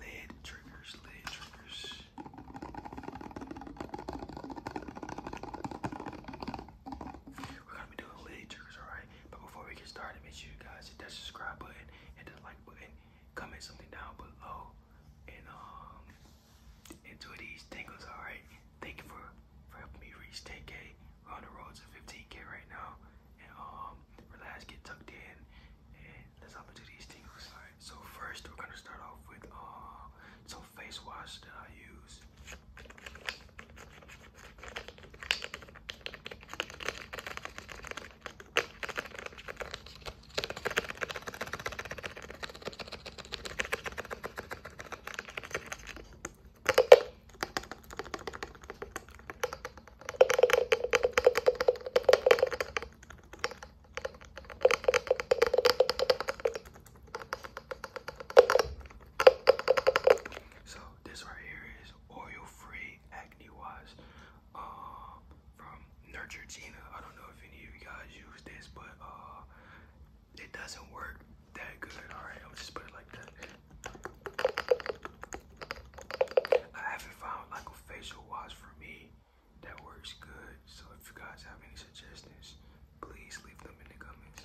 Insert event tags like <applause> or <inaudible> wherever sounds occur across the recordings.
lid triggers, lid triggers. We're gonna be doing lid triggers, alright? But before we get started, make sure you guys hit that subscribe button, hit that like button, comment something down below, and um enjoy these tingles, alright? Thank you for for helping me reach 10k. We're on the road to 15k right now and um, relax, get tucked in, and let's hop into these tingles. so first we're gonna start off with uh, some face wash that I use. So this right here is oil-free acne wash um, from Nurture Gina. I don't know if any of you guys use this, but uh, it doesn't work that good. All right, I'll just put it like that. I haven't found like a facial wash for me that works good. So if you guys have any suggestions, please leave them in the comments.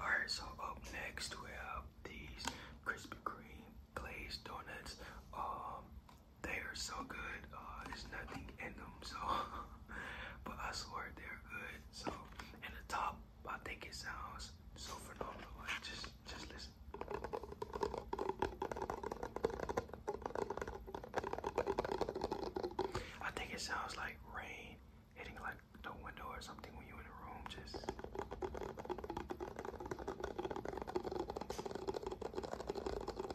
Alright, so up next we have these Krispy Kreme glazed donuts. Um, they are so good. Uh, there's nothing in them, so <laughs> <laughs> but I swear they're good. So, in the top, I think it sounds so phenomenal. Like, just, just listen. I think it sounds like rain hitting like the window or something when you're in the room. Just.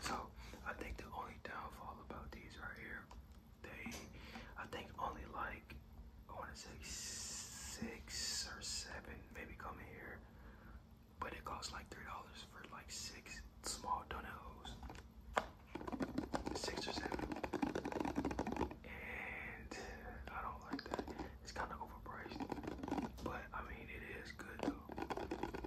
So I think the only downfall about these right here, they I think only like I want to say six or seven, maybe coming here. But it costs like three dollars for like six small donut Six or seven. And I don't like that. It's kind of overpriced. But I mean, it is good though.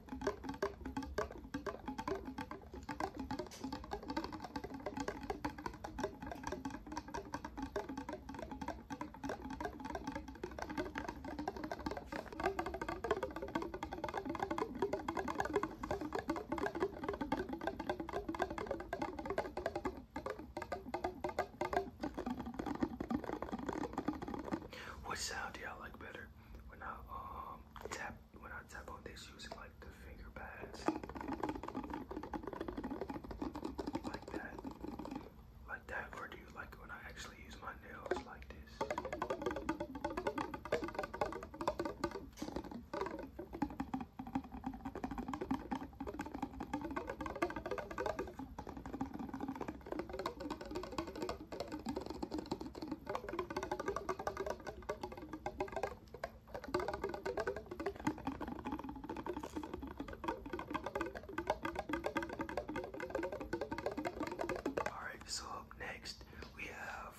What sound do y'all like better? When I um tap when I tap on this using like the finger pads, like that, like that, or do you like when I actually use my nails like this? Alright, so up next we have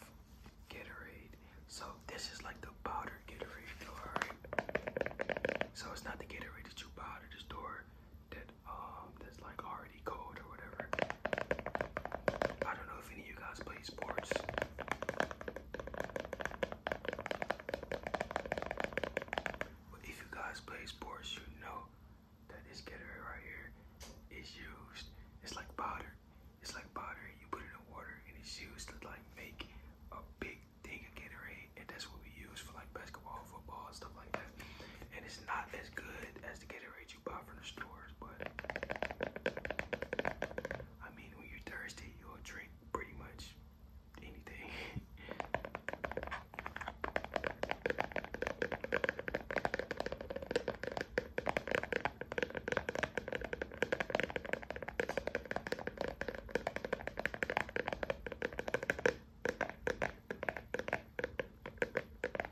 Gatorade. So this is like the powdered Gatorade, alright? So it's not the Gatorade that you buy at the store that um that's like hard already cold or whatever. I don't know if any of you guys play sports. But if you guys play sports, you know that this Gatorade right here is used. It's like powder. It's like powder. You put it in water and it's used to like make a big thing of Gatorade. And that's what we use for like basketball, football, stuff like that. And it's not as good as the Gatorade I mean, when you're thirsty, you'll drink pretty much anything. <laughs>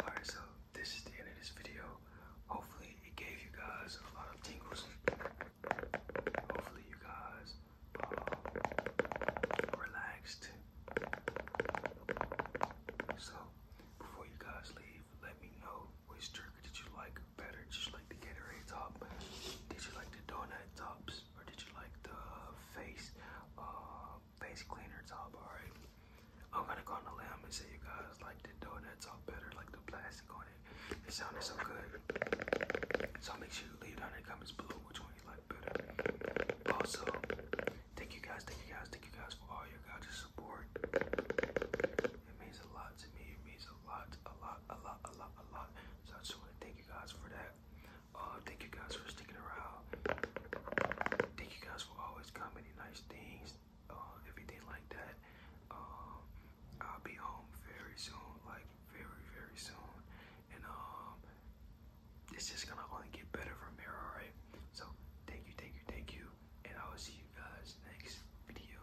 Alright, so this is the end of this video. Hopefully, it gave you guys a lot of tingles. Hopefully, you guys uh, relaxed. So, before you guys leave, let me know which jerky did you like better? Did like the Gatorade top? Did you like the donut tops? Or did you like the face uh, face cleaner top? Alright. I'm gonna go on the lamb and say you guys like the donuts top better, like the plastic on it. It sounded so good. So make sure you leave down in the comments below which one you like better. Also, thank you guys, thank you guys, thank you guys for all your guys' support. It means a lot to me. It means a lot, a lot, a lot, a lot, a lot. So I just want to thank you guys for that. Uh, thank you guys for sticking around. Thank you guys for always commenting nice things, uh, everything like that. Um, I'll be home very soon, like very, very soon. And um, it's just gonna only get better from here, alright? So thank you, thank you, thank you, and I will see you guys next video.